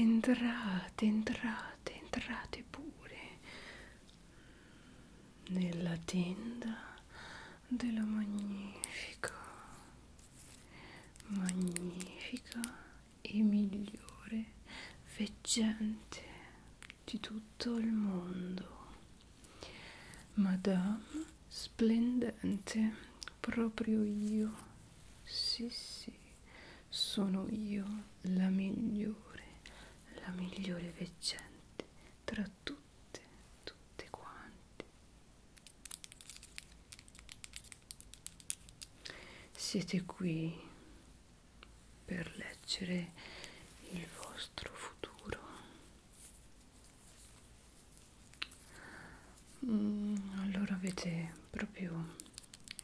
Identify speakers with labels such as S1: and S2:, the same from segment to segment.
S1: Entrate, entrate, entrate pure nella tenda della magnifica, magnifica e migliore veggente di tutto il mondo. Madame splendente, proprio io sì, sì, sono io la migliore, la migliore veggente tra tutte, tutte quante. Siete qui per leggere il vostro futuro. Mm, allora avete proprio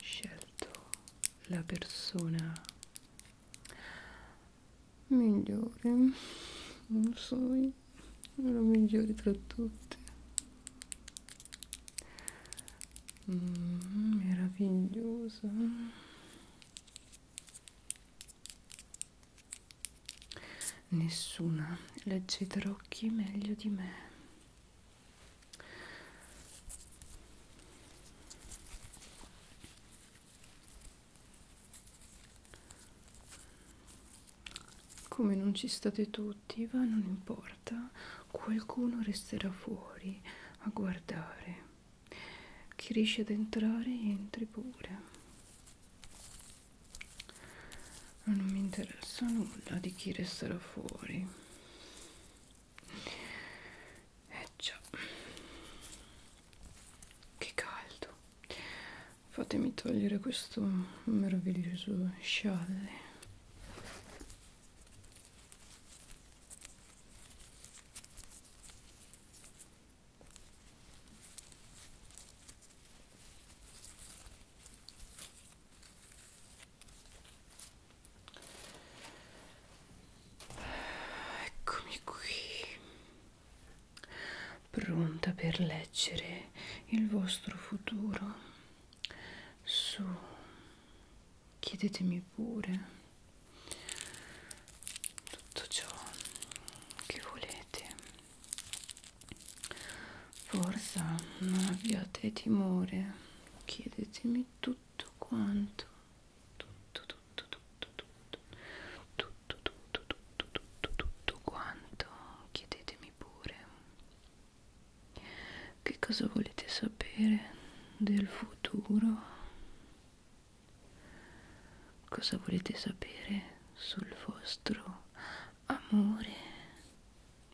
S1: scelto la persona migliore, non so, la migliore tra tutte. Mm, meravigliosa nessuna legge i tarocchi meglio di me come non ci state tutti, va, non importa, qualcuno resterà fuori a guardare. Chi riesce ad entrare, entri pure non mi interessa nulla di chi resterà fuori eh già che caldo fatemi togliere questo meraviglioso scialle Eccomi qui, pronta per leggere il vostro futuro. Su, chiedetemi pure tutto ciò che volete Forza, non abbiate timore, chiedetemi tutto quanto, tutto, tutto, tutto, tutto, tutto, tutto, tutto, tutto, tutto quanto, chiedetemi pure. Che cosa volete sapere del futuro? Cosa volete sapere sul vostro amore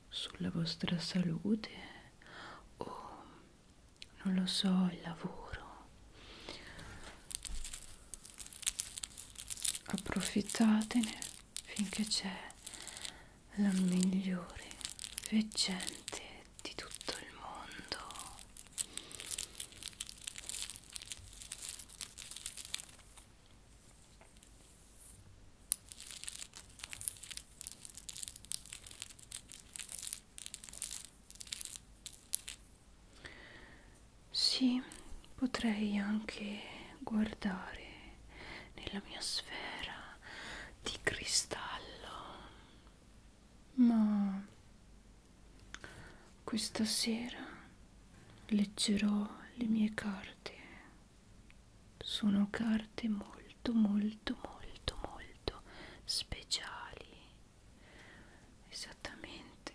S1: sulla vostra salute o non lo so il lavoro approfittatene finché c'è la migliore veggente di tutto il mondo sì, potrei anche guardare nella mia sfera di cristallo, ma questa sera leggerò le mie carte. Sono carte molto, molto, molto, molto speciali. Esattamente.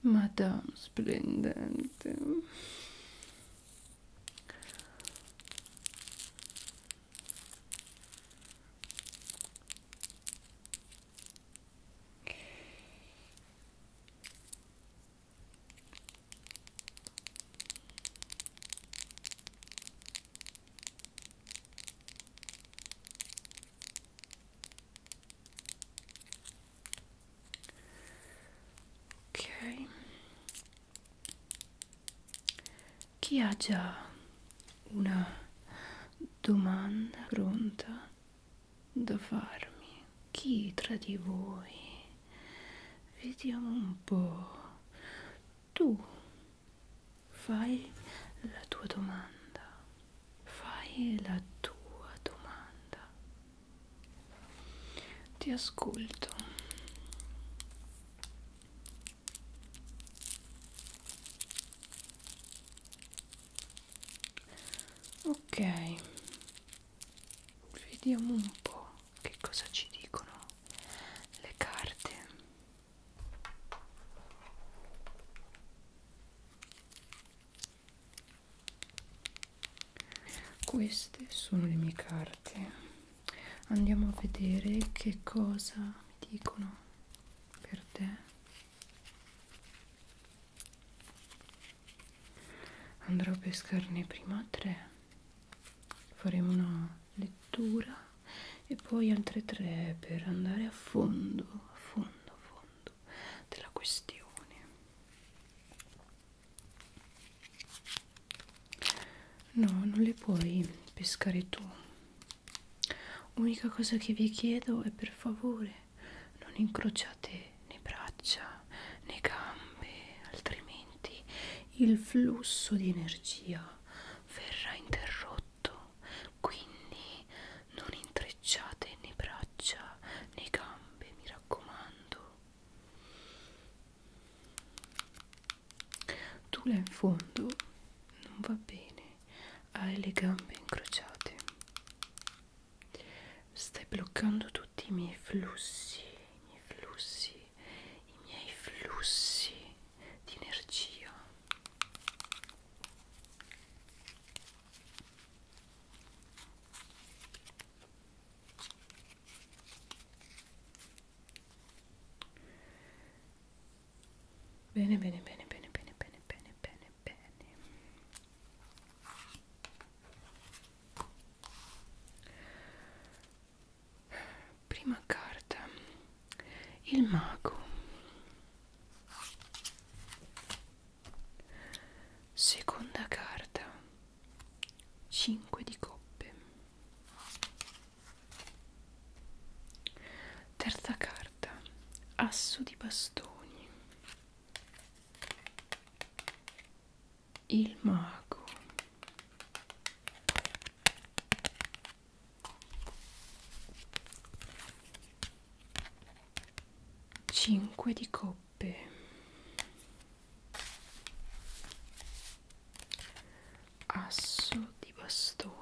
S1: Madame splendente ok chi ha già una domanda pronta da farmi chi tra di voi vediamo un po tu fai la tua domanda fai la tua domanda ti ascolto ok vediamo un po' che cosa ci dicono le carte queste sono le mie carte andiamo a vedere che cosa mi dicono per te andrò a pescarne prima tre faremo una lettura e poi altre tre per andare a fondo a fondo a fondo della questione no non le puoi pescare tu unica cosa che vi chiedo è per favore non incrociate né braccia né gambe, altrimenti il flusso di energia verrà interrotto. Quindi non intrecciate né braccia né gambe, mi raccomando. Tu là in fondo non va bene, hai le gambe incrociate stai bloccando tutti i miei flussi i miei flussi i miei flussi di energia Bene, bene, bene, bene, bene, bene, bene, bene, bene. Prima carta, il mago. Seconda carta, 5 di coppe. Terza carta, asso di bastoni il mago cinque di coppe asso di bastoni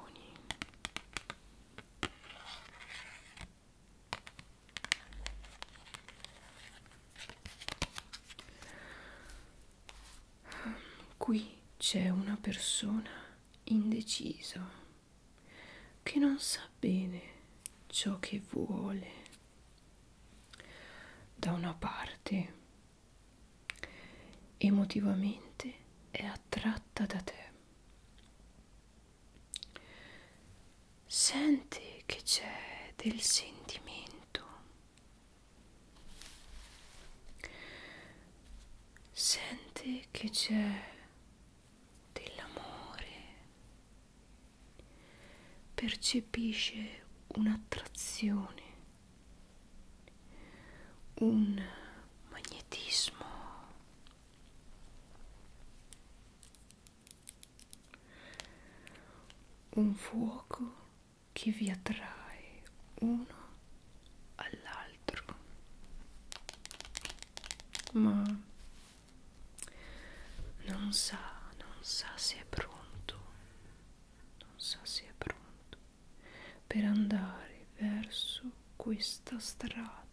S1: Qui c'è una persona indecisa che non sa bene ciò che vuole. Da una parte, emotivamente è attratta da te Senti che c'è del sentimento. Senti che c'è dell'amore. Percepisce un'attrazione, un magnetismo un fuoco che vi attrae uno all'altro ma non sa non sa se è pronto non sa se è pronto per andare verso questa strada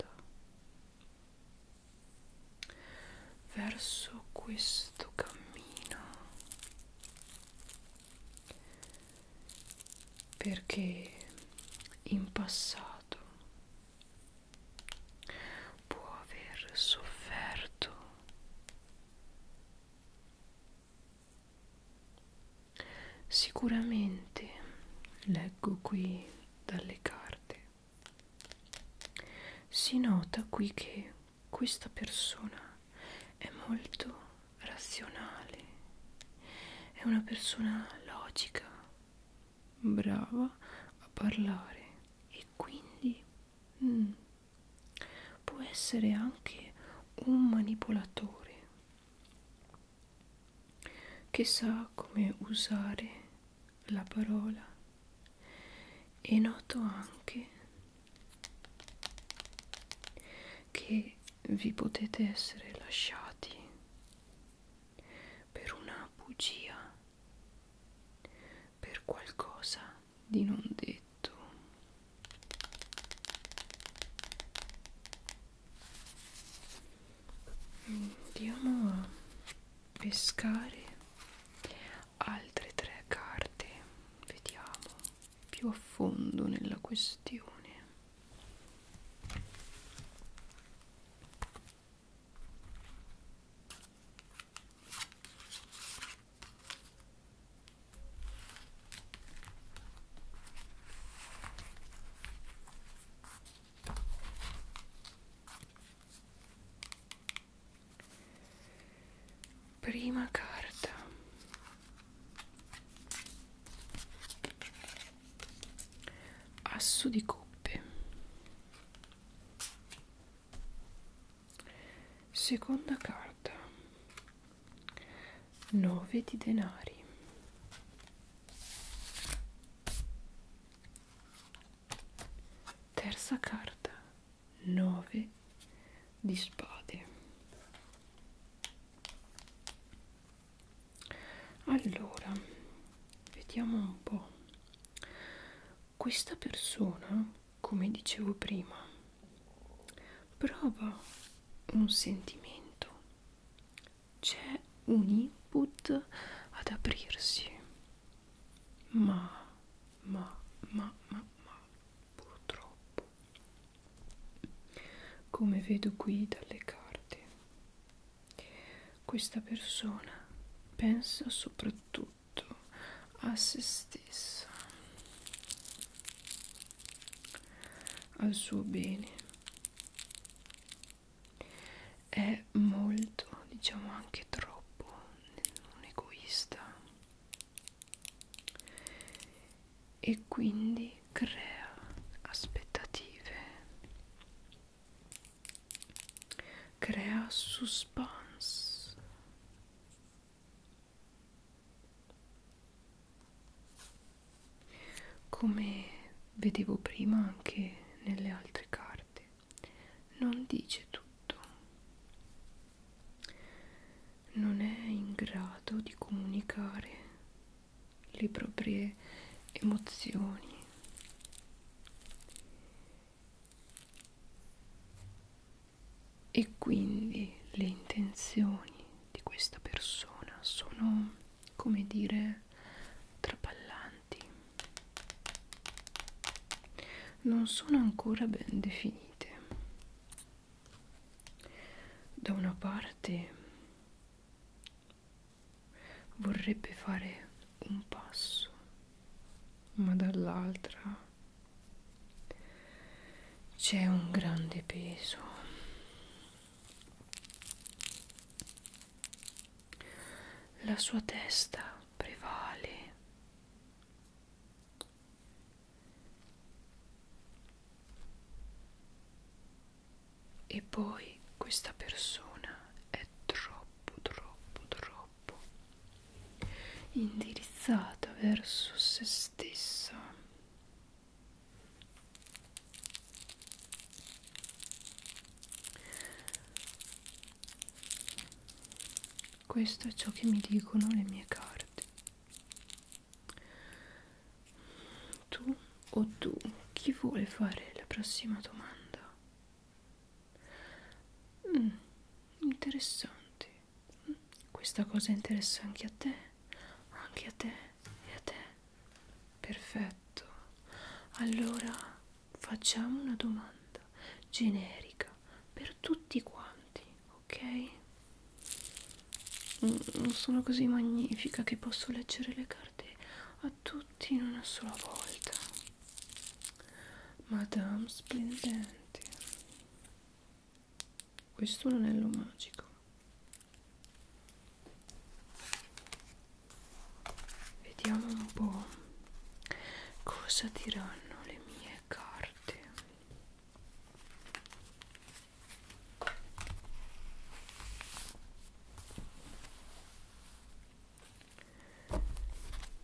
S1: verso questo cammino perché in passato può aver sofferto sicuramente leggo qui dalle carte si nota qui che questa persona è molto razionale è una persona logica brava a parlare e quindi mm, può essere anche un manipolatore che sa come usare la parola e noto anche che vi potete essere lasciati per una bugia, per qualcosa di non detto andiamo a pescare altre tre carte vediamo più a fondo nella questione Prima carta. Asso di coppe. Seconda carta. Nove di denari. Terza carta, 9 di spade. Allora, vediamo un po'. Questa persona, come dicevo prima, prova un sentimento c'è un input ad aprirsi ma ma ma ma ma purtroppo come vedo qui dalle carte questa persona pensa soprattutto a se stessa al suo bene è molto diciamo anche troppo un egoista e quindi crea aspettative crea suspense come vedevo prima anche nelle altre carte non dice tutto non è in grado di comunicare le proprie emozioni e quindi le intenzioni di questa persona sono come dire trapallanti non sono ancora ben definite da una parte vorrebbe fare un passo ma dall'altra c'è un grande peso la sua testa prevale. E poi questa persona è troppo, troppo, troppo indirizzata verso se stessa questo è ciò che mi dicono le mie carte. Tu o tu, chi vuole fare la prossima domanda? Mm, interessante. Mm, questa cosa interessa anche a te, anche a te e a te perfetto allora facciamo una domanda generica per tutti quanti ok mm, non sono così magnifica che posso leggere le carte a tutti in una sola volta madame splendente questo è un anello magico vediamo un po' cosa diranno le mie carte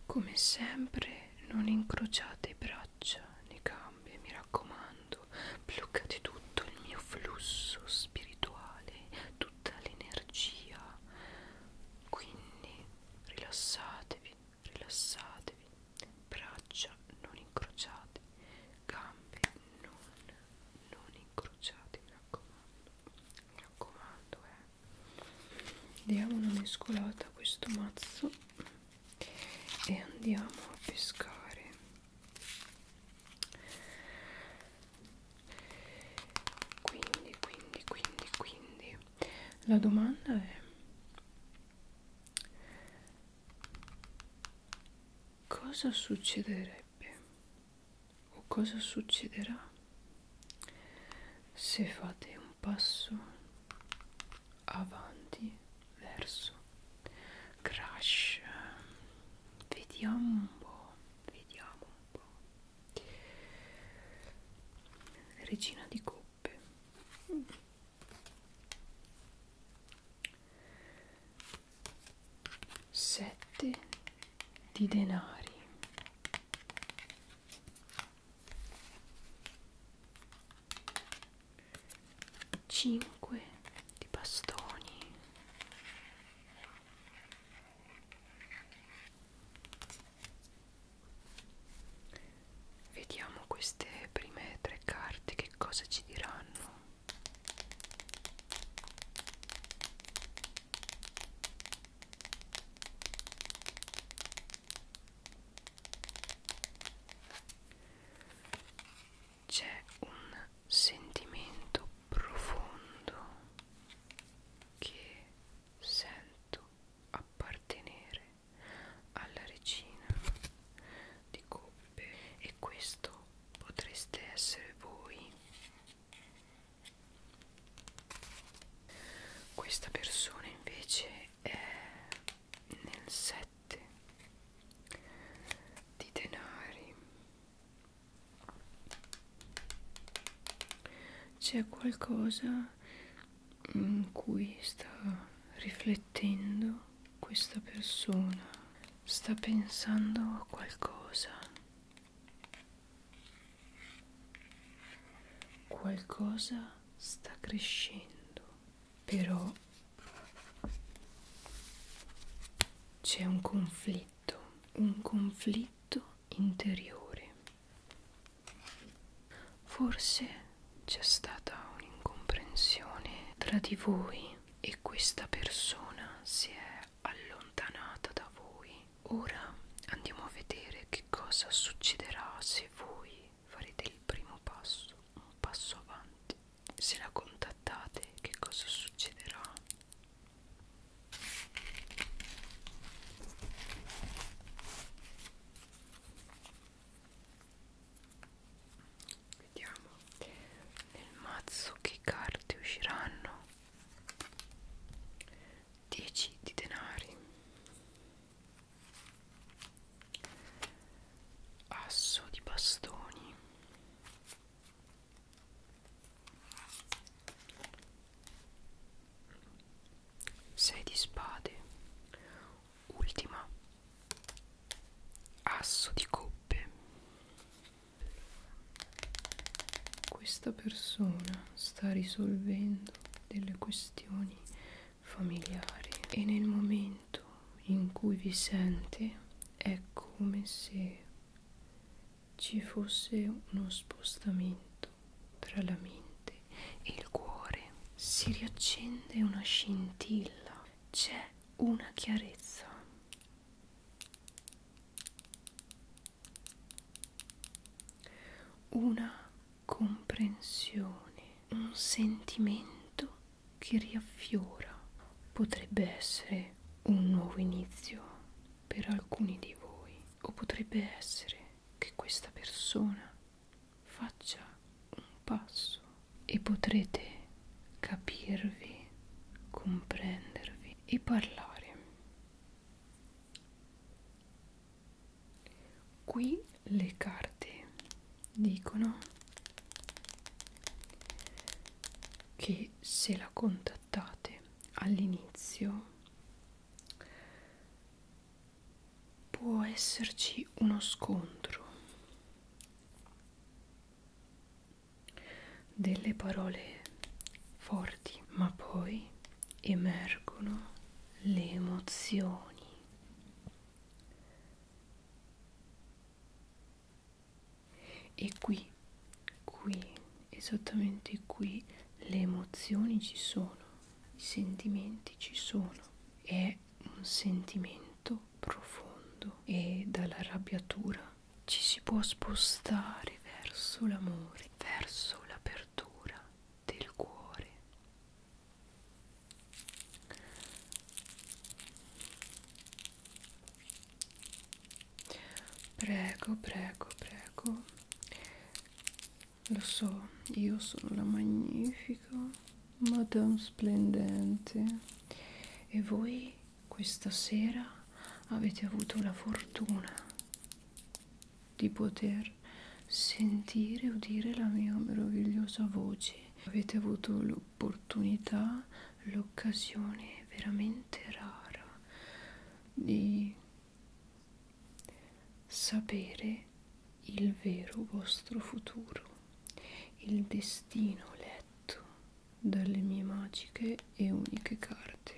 S1: come sempre non incrociate i braccia nei gambe mi raccomando raffreddando, blocca di tutto il mio flusso spirituale, tutta l'energia. Quindi rilassatevi, rilassatevi, braccia non incrociate, gambe non, non incrociate, mi raccomando, mi raccomando, eh. Diamo una mescolata a questo mazzo e andiamo a pescare quindi quindi quindi quindi la domanda è cosa succederebbe o cosa succederà se fate un passo avanti verso crash vediamo un po' vediamo un po' regina di coppe mm. sette di denari 5 di bastoni Vediamo queste prime tre carte che cosa ci diranno c'è un sentimento profondo che sento appartenere alla regina di coppe e questo potreste essere voi questa persona invece è nel senso sette di denari c'è qualcosa in cui sta riflettendo questa persona sta pensando a qualcosa qualcosa sta crescendo però c'è un conflitto, un conflitto interiore. Forse c'è stata un'incomprensione tra di voi e questa persona si è allontanata da voi. Ora andiamo a vedere che cosa succederà se voi farete il primo passo, un passo avanti se la contattate che cosa succederà vediamo nel mazzo che carte usciranno 10 di denari asso di bastoni sei di spade ultima asso di coppe questa persona sta risolvendo delle questioni familiari e nel momento in cui vi sente è come se ci fosse uno spostamento tra la mente e il cuore si riaccende una scintilla c'è una chiarezza una comprensione un sentimento che riaffiora potrebbe essere un nuovo inizio per alcuni di voi o potrebbe essere che questa persona faccia un passo e potrete capirvi, comprendervi e parlare qui le carte dicono che se la contattate all'inizio può esserci uno scontro delle parole forti ma poi emergono le emozioni e qui qui esattamente qui le emozioni ci sono i sentimenti ci sono è un sentimento profondo e dalla arrabbiatura ci si può spostare verso l'amore verso l'apertura del cuore Prego, prego, prego. Lo so, io sono la magnifica Madame Splendente e voi questa sera avete avuto la fortuna di poter sentire e udire la mia meravigliosa voce avete avuto l'opportunità, l'occasione veramente rara di sapere il vero vostro futuro, il destino letto dalle mie magiche e uniche carte.